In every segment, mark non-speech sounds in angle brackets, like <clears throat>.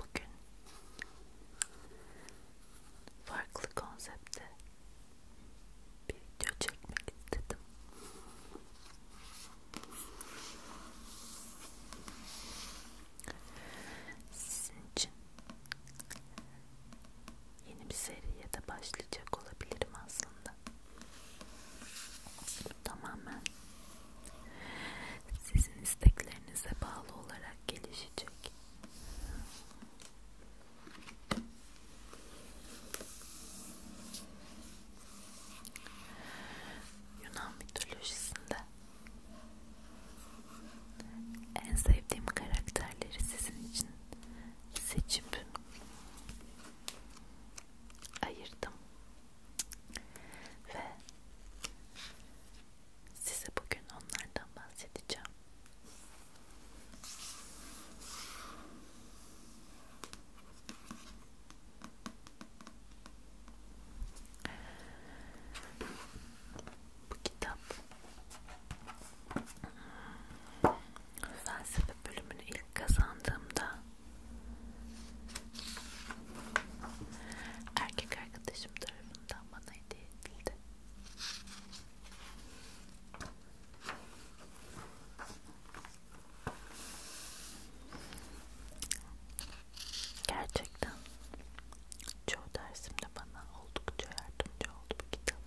Bugün farklı konsepte bir video çekmek istedim. Sizin için yeni bir seriye de başlayacak olabilirim aslında. Tamamen sizin isteklerinize bağlı olarak gelişecek. Yunan mitolojisinde en sevdiğim karakterleri sizin için seçip ayırdım ve Size bugün onlardan bahsedeceğim. Bu kitap felsefe bölümünü ilk kazandığımda Erkek arkadaşım tarafından bana hediye edildi. Gerçekten çoğu dersimde bana oldukça yardımcı oldu bu kitap.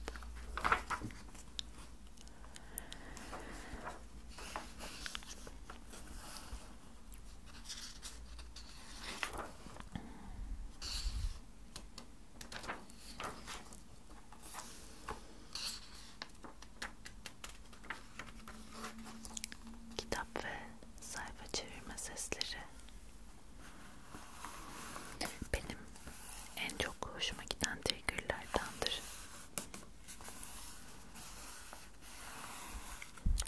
Kitap ve sayfa çevirme sesleri benim en çok hoşuma giden triggerlardandır.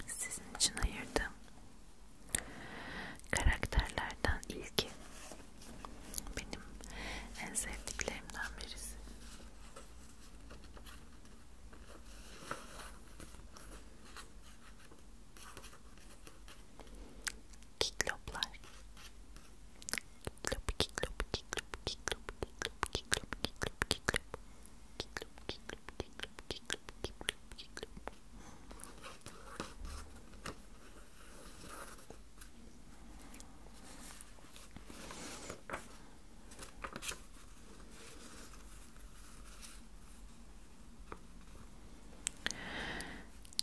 Sizin için ayırdım. Karakterlerden ilki benim en sevdiklerimden birisi. Kikloplar. Kiklop, kiklop, kiklop, kiklop, kiklop, kiklop, kiklop, kiklop, kiklop, kiklop.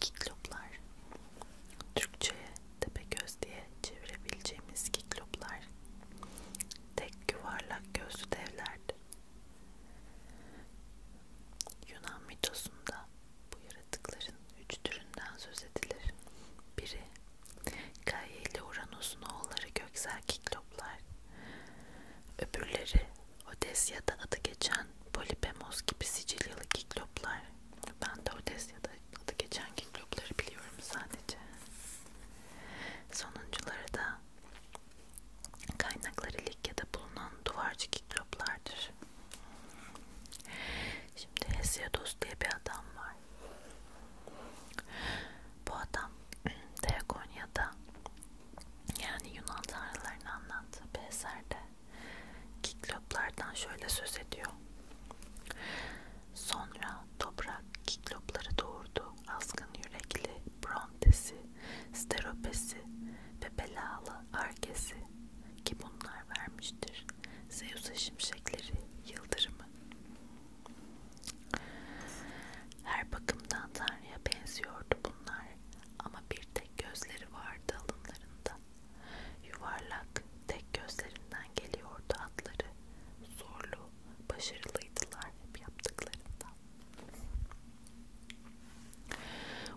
Kikloplar Türkçe'ye tepe göz diye çevirebileceğimiz kikloplar tek yuvarlak gözlü devlerdi. Yunan mitosunda bu yaratıkların üç türünden söz edilir. Biri, Gaia ile Uranus'un oğulları göksel kikloplar. Öbürleri, Odesya'da adı geçen Polipemos gibi Sicilyalı kikloplar. Ben de Odesya'da adı geçen kiklopları biliyorum sadece. Sonuncuları da Kaynakları Likya'da bulunan duvarcı kikroplardır. Şimdi Hesiodos diye bir adam var. Bu adam Teogonya'da <clears throat> yani Yunan tanrılarını anlattığı bir eserde kikloplardan şöyle söz ediyor. Sonra toprak kiklopları doğurdu. Azgın yürekli, brontesi, steropesi ve belalı arkesi ki bunlar vermiştir. Zeus'a şimşekleri, yıldırımı. Her bakımdan Tanrı'ya benziyordu bunlar ama bir tek gözleri vardı alınlarında. Yuvarlak tek gözlerinden geliyordu atları. Zorlu Başarılıydılar hep yaptıklarında.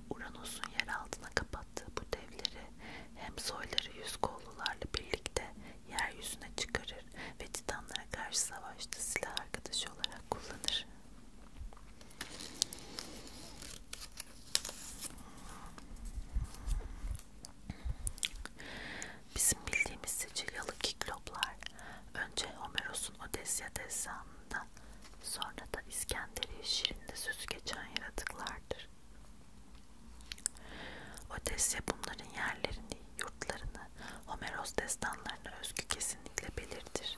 Uranus'un yer altına kapattığı bu devleri hem soyları yüz kollularla birlikte yeryüzüne çıkarır ve titanlara karşı savaşta silah arkadaşı olarak kullanır. Bizim bildiğimiz Sicilyalı Kikloplar önce Homeros'un Odesya destanında sonra da İskenderiye şiirinde sözü geçen yaratıklardır. Odesya bunların yerlerini, yurtlarını, Homeros destanlarına özgü kesinlikle belirtir.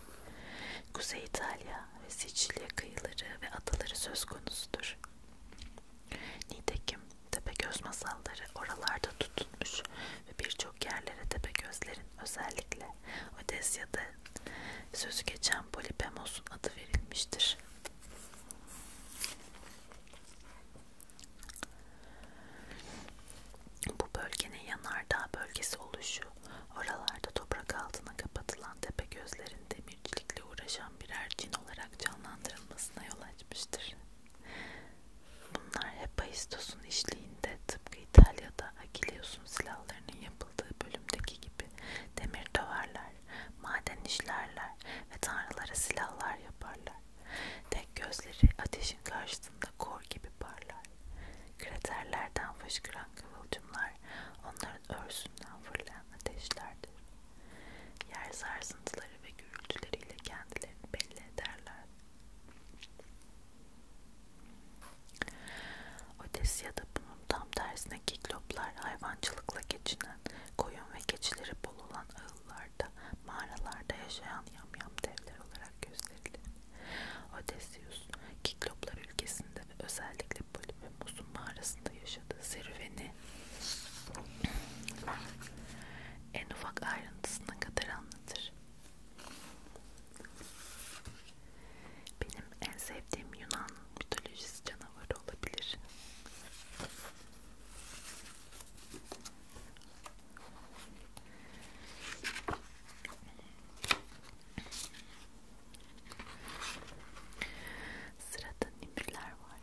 Kuzey İtalya ve Sicilya kıyıları ve adaları söz konusudur. Nitekim Tepegöz masalları oralarda tutulmuş ve birçok yerlere Tepegözlerin özellikle Odesya'da sözü geçen Polipemos'un adı verilmiştir. Bu bölgenin yanardağ bölgesi oluşu, oralarda toprak altına kapatılan Tepegözlerin demircilikle uğraşan birer cin olarak canlandırılmasına yol açmıştır. Bunlar Hephaistos'un işliğinde tıpkı İtalya'da Akilios'un silahlarının yapıldığı bölümdeki gibi demir döverler, maden işlerler ve tanrılara silahlar yaparlar. Tek gözleri ateşin karşısında kor gibi parlar. Kraterlerden fışkıran kıvılcımlar onların örsünden fırlayan ateşlerdir. Yer sarsıntıları ve gürültüleriyle kendilerini belli ederler. Odesya'da bunun tam tersine kikloplar hayvancılıkla geçinen, koyun ve keçileri bol olan ağıllarda, mağaralarda yaşayan yamyam devler olarak gösterilir. Odysseus, kikloplar ülkesinde ve özellikle Polybemos'un mağarasında yaşadığı serüveni en ufak ayrıntısına kadar anlatır. Benim en sevdiğim Yunan mitolojisi canavarı olabilir. Sırada nimfler var.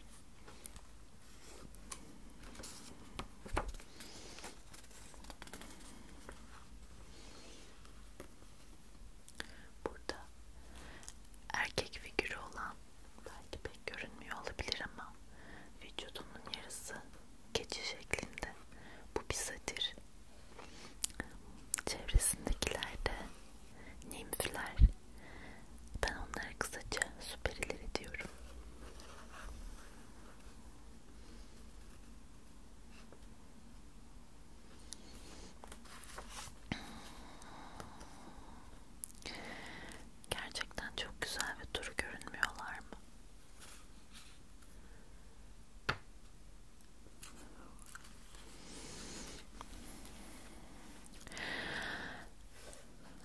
Burada erkek figürü olan belki pek görünmüyor olabilir ama vücudunun yarısı keçi şeklinde. Bu bir satir. Çevresindekiler de nimfler ben onlara kısaca süperileri diyorum. Gerçekten çok güzel ve duru görünmüyorlar mı?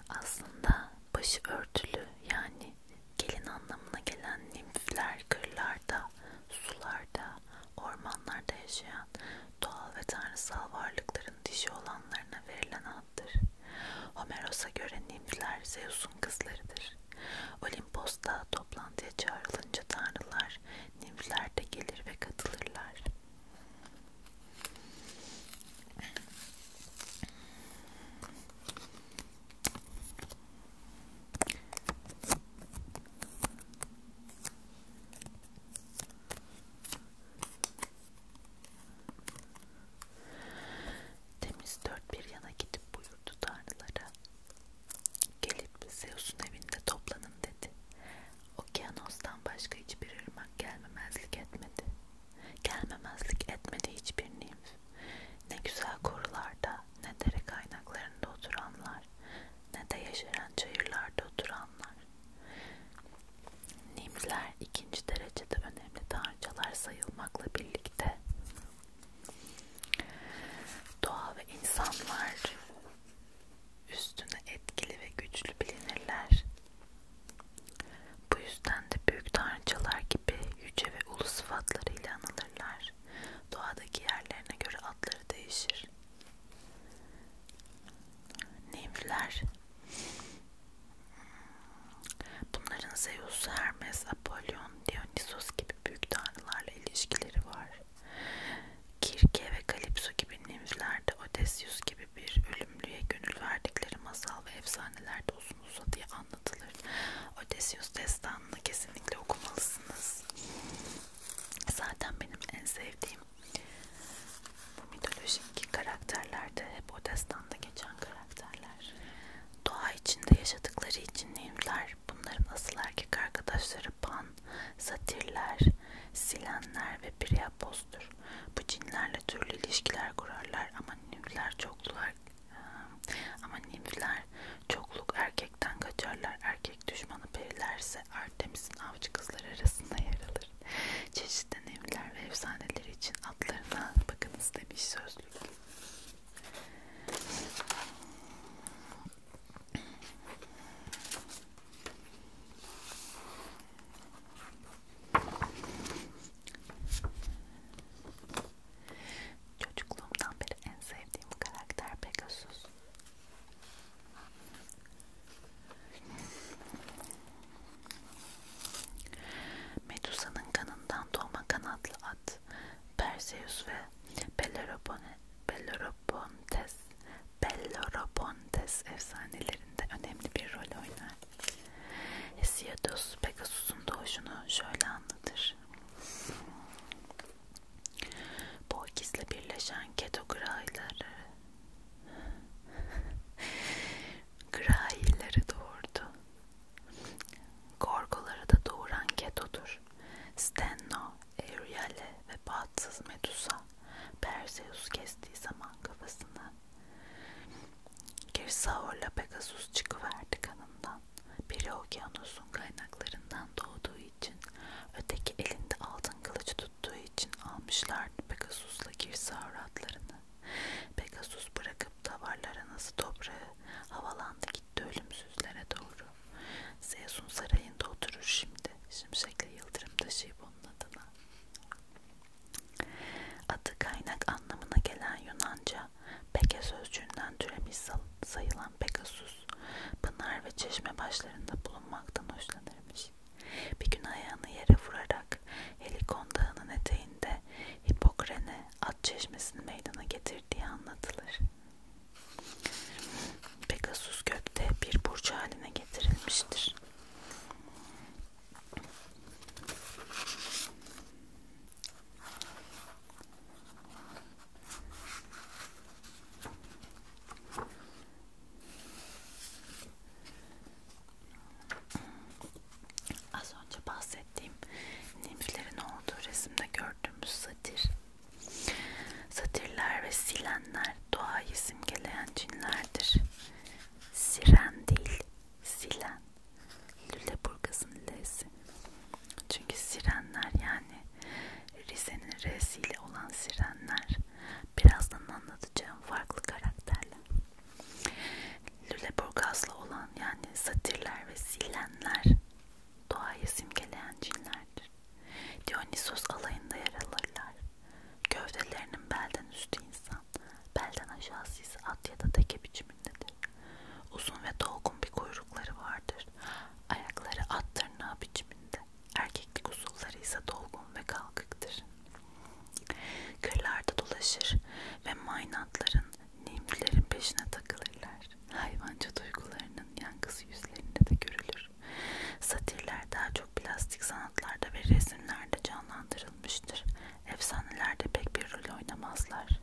aslında başı örtülü yani gelin anlamına gelen nimfler kırlarda, sularda, ormanlarda yaşayan doğal ve tanrısal varlıkların dişi olanlarına verilen addır. Homeros'a göre nimfler Zeus'un kızlarıdır. Olimpos'ta toplantıya çağrılınca tanrılar nimfler de gelir ve katılırlar. Temiz dört bir yana gidip buyurdu tanrılara. Gelip Zeus'un evinde toplanın dedi. Okyanostan başka hiçbir ırmak gelmemezlik etmedi. Gelmemezlik etmedi hiçbir nimf. Ne güzel korularda, ne dere kaynaklarında oturanlar, ne de yeşeren çayırlarda oturanlar. Nimfler ikinci derecede önemli tanrıçalar sayılmakla birlikte doğa ve insanlar üstüne etkili ve güçlü bilinirler. Bu yüzden de büyük tanrıçalar gibi yüce ve ulu sıfatlarıyla anılırlar. Doğadaki yerlerine göre adları değişir. Nimfler Bunların Zeus, Hermes, Apollon, Dionysos gibi büyük tanrılarla ilişkileri var. Kirke ve Kalipso gibi nimfler de Odysseus gibi gibi bir ölümlüye gönül verdikleri masal ve efsanelerde uzun uzadıya anlatılır. Odysseus destanını kesinlikle okumalısınız. Zaten benim en sevdiğim bu mitolojik karakterlerde hep o destanda geçen karakterler. Doğa içinde yaşadıkları için nehimler, bunların asıl erkek arkadaşları Pan, Satirler, Silenler ve Priapos'tur. Bu cinlerle türlü ilişkiler kurarlar ama nimfler çoklular ama nimfler çokluk erkekten kaçarlar. Erkek düşmanı perilerse Artemis'in avcı kızları arasında yer alır. Çeşitli nimfler ve efsaneler için adlarına bakınız demiş sözlük. Çocukluğumdan beri en sevdiğim karakter Pegasus. Medusa'nın kanından doğma kanatlı at Perseus ve Belleropontes Belleropontes efsanelerinde önemli bir rol oynar. Hesiodos Pegasus'un doğuşunu şöyle anlatır. Poikis'le birleşen Keto Grai'leri Grai'leri doğurdu. Gorgoları da doğuran Keto'dur. Stenno, Euryale ve bahtsız Medusa Perseus kestiği zaman kafasını Girsaur'la Pegasus çıkıverdi kanından. Biri okyanusun kaynaklarından doğduğu için, öteki elinde altın kılıç tuttuğu için almışlardı Pegasus'la Girsaur adlarını. Pegasus bırakıp davarlara nasıl toprağı havalandı gitti ölümsüzlere doğru. Zeus'un sarayında oturur şimdi. Şimşekle yıldırım taşıyıp onun adına. Adı kaynak anlamına gelen Yunanca peke sözcüğünden türemiş sayılan Pegasus, pınar ve çeşme başlarında bulunmaktan hoşlanırmış. Bir gün ayağını yere vurarak Helikon Dağı'nın eteğinde Hipokrane at çeşmesini meydana getirdiği anlatılır. Pegasus gökte bir burcu haline getirilmiştir. Az önce bahsettiğim nimflerin olduğu resimde gördüğümüz satir. Satirler ve silenler doğayı simgeleyen cinlerdir. Siren değil, silen. Lüleburgaz'ın L'si. Çünkü sirenler yani Rize'nin R'siyle olan sirenler birazdan anlatacağım farklı karakterler. Lüleburgaz'la olan yani satirler ve silenler doğayı simgeleyen cinlerdir. Dionysos alayında yer alırlar. Gövdelerinin belden üstü insan, belden aşağısı ise at ya da teke biçimindedir. Uzun ve dolgun bir kuyrukları vardır. Ayakları at tırnağı biçiminde. Erkeklik usulları ise dolgun ve kalkıktır. Kırlarda dolaşır ve maynatların, nimflerin peşine takılırlar. Hayvanca duygularının yankısı yüzlerinde de görülür vardır. Satirler daha çok plastik sanatlarda ve resimlerde canlandırılmıştır. Efsanelerde pek bir rol oynamazlar.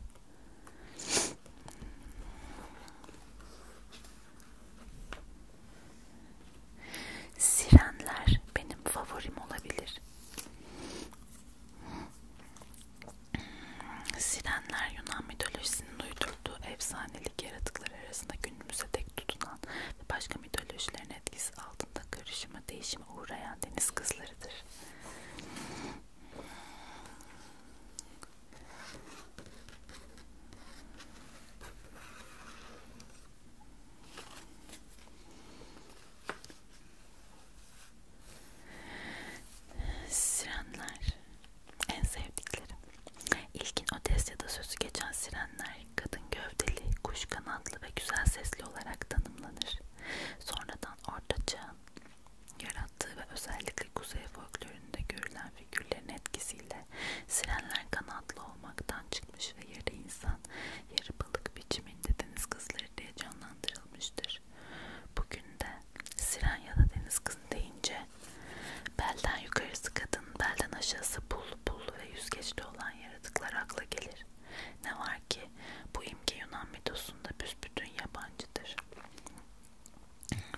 Sirenler benim favorim olabilir. Sirenler Yunan mitolojisinin uydurduğu efsanelik yaratıklar arasında günümüze dek tutunan ve başka mitolojilerin etkisi altında karışıma değişime uğrayan deniz kızlarıdır. Sirenler en sevdiklerim İlkin Odes ya da sözü geçen sirenler kadın gövdeli, kuş kanatlı ve güzel sesli olarak tanımlanır. Sonradan Orta Çağ'ın yarattığı ve özellikle kuzey folkloründe görülen figürlerin etkisiyle sirenler kanatlı olmaktan çıkmış ve yarı insan, yarı balık biçiminde deniz kızları diye canlandırılmıştır. Bugün de siren ya da deniz kızı deyince Belden yukarısı kadın, belden aşağısı pullu pullu ve yüzgeçli olan yaratıklar akla gelir. Ne var ki bu imge Yunan mitosunda büsbütün yabancıdır.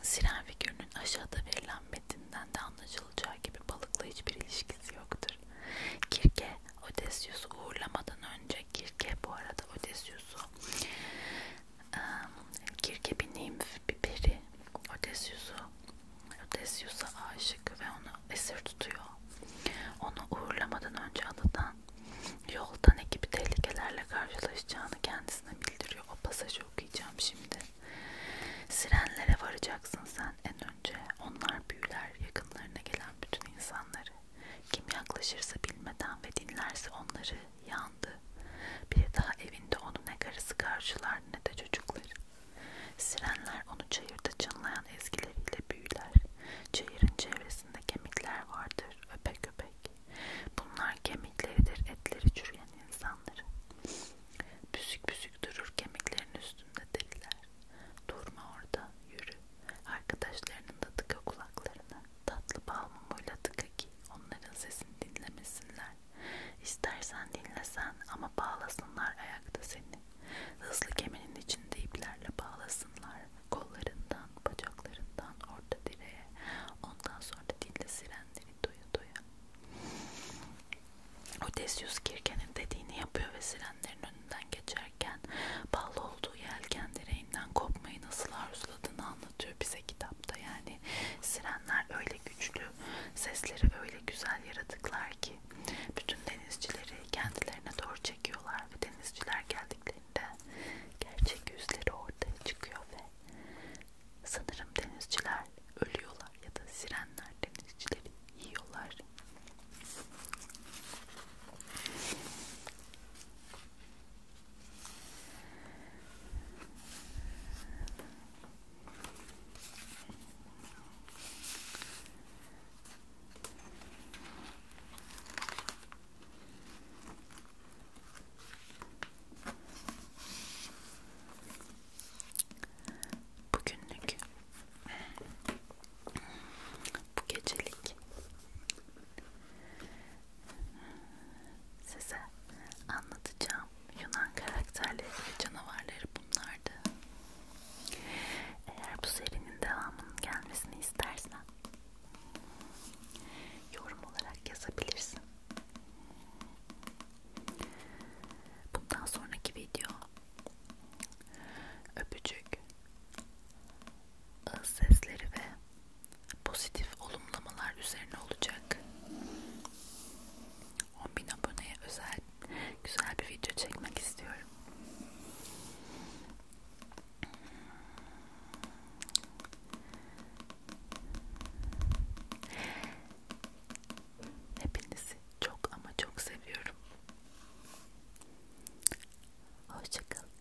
Siren figürünün aşağıda verilen metinden de anlaşılacağı gibi balıkla hiçbir ilişkisi yoktur. Kirke, Odysseus'u uğurlamadan önce Kirke bu arada Odysseus'u Kirke bir nimf, bir peri Odysseus'u Odysseus'a aşık ve onu esir tutuyor. Onu uğurlamadan önce adadan yolda ne gibi tehlikelerle karşılaşacağını kendisine bildiriyor. O pasajı okuyacağım şimdi. Sirenlere varacaksın sen en önce. Onlar büyüler yakınlarına gelen bütün insanları. Kim yaklaşırsa bilmeden ve dinlerse onları yandı. Bir daha evinde onu ne karısı karşılar ne de çocukları. Sirenler onu çayırda çınlayan ezgileriyle büyüler. Çayırın çevresinde kemikler vardır, öpek öpek. Bunlar kemikleridir, etleri çürüyen insanların. Büsük büsük durur kemiklerin üstünde deliler. Durma orada, yürü. Arkadaşlarının da tıka kulaklarını. Tatlı bal mumuyla tıka ki onların sesini dinlemesinler. İstersen dinlesen ama bağlasınlar ayakta seni. Hızlı kemenin içinde iplerle bağlasınlar. Kollarından, bacaklarından, orta direğe. Ondan sonra dinle sirenleri doya doya. Odysseus Kirke'nin dediğini yapıyor ve sirenlerin önünden geçerken bağlı olduğu yelken direğinden kopmayı nasıl arzuladığını anlatıyor bize kitapta. Yani sirenler öyle güçlü Sesleri öyle güzel yaratıklar ki bütün denizcileri kendilerine doğru çekiyorlar ve denizciler geldiklerinde gerçek yüzleri ortaya çıkıyor ve sanırım denizciler ölüyorlar ya da sirenler denizcileri yiyorlar. Bugünlük bu gecelik size anlatacağım Yunan, Yunan karakterleri ve canavarları bunlardı. Eğer bu serinin devamının gelmesini istersen yorum olarak yazabilirsin. Bundan sonraki video öpücük, ağız ıı, sesleri ve pozitif olumlamalar üzerine olacak. 10.000 aboneye özel güzel bir video çekmek istiyorum. Hepinizi çok ama çok seviyorum. Hoşçakalın.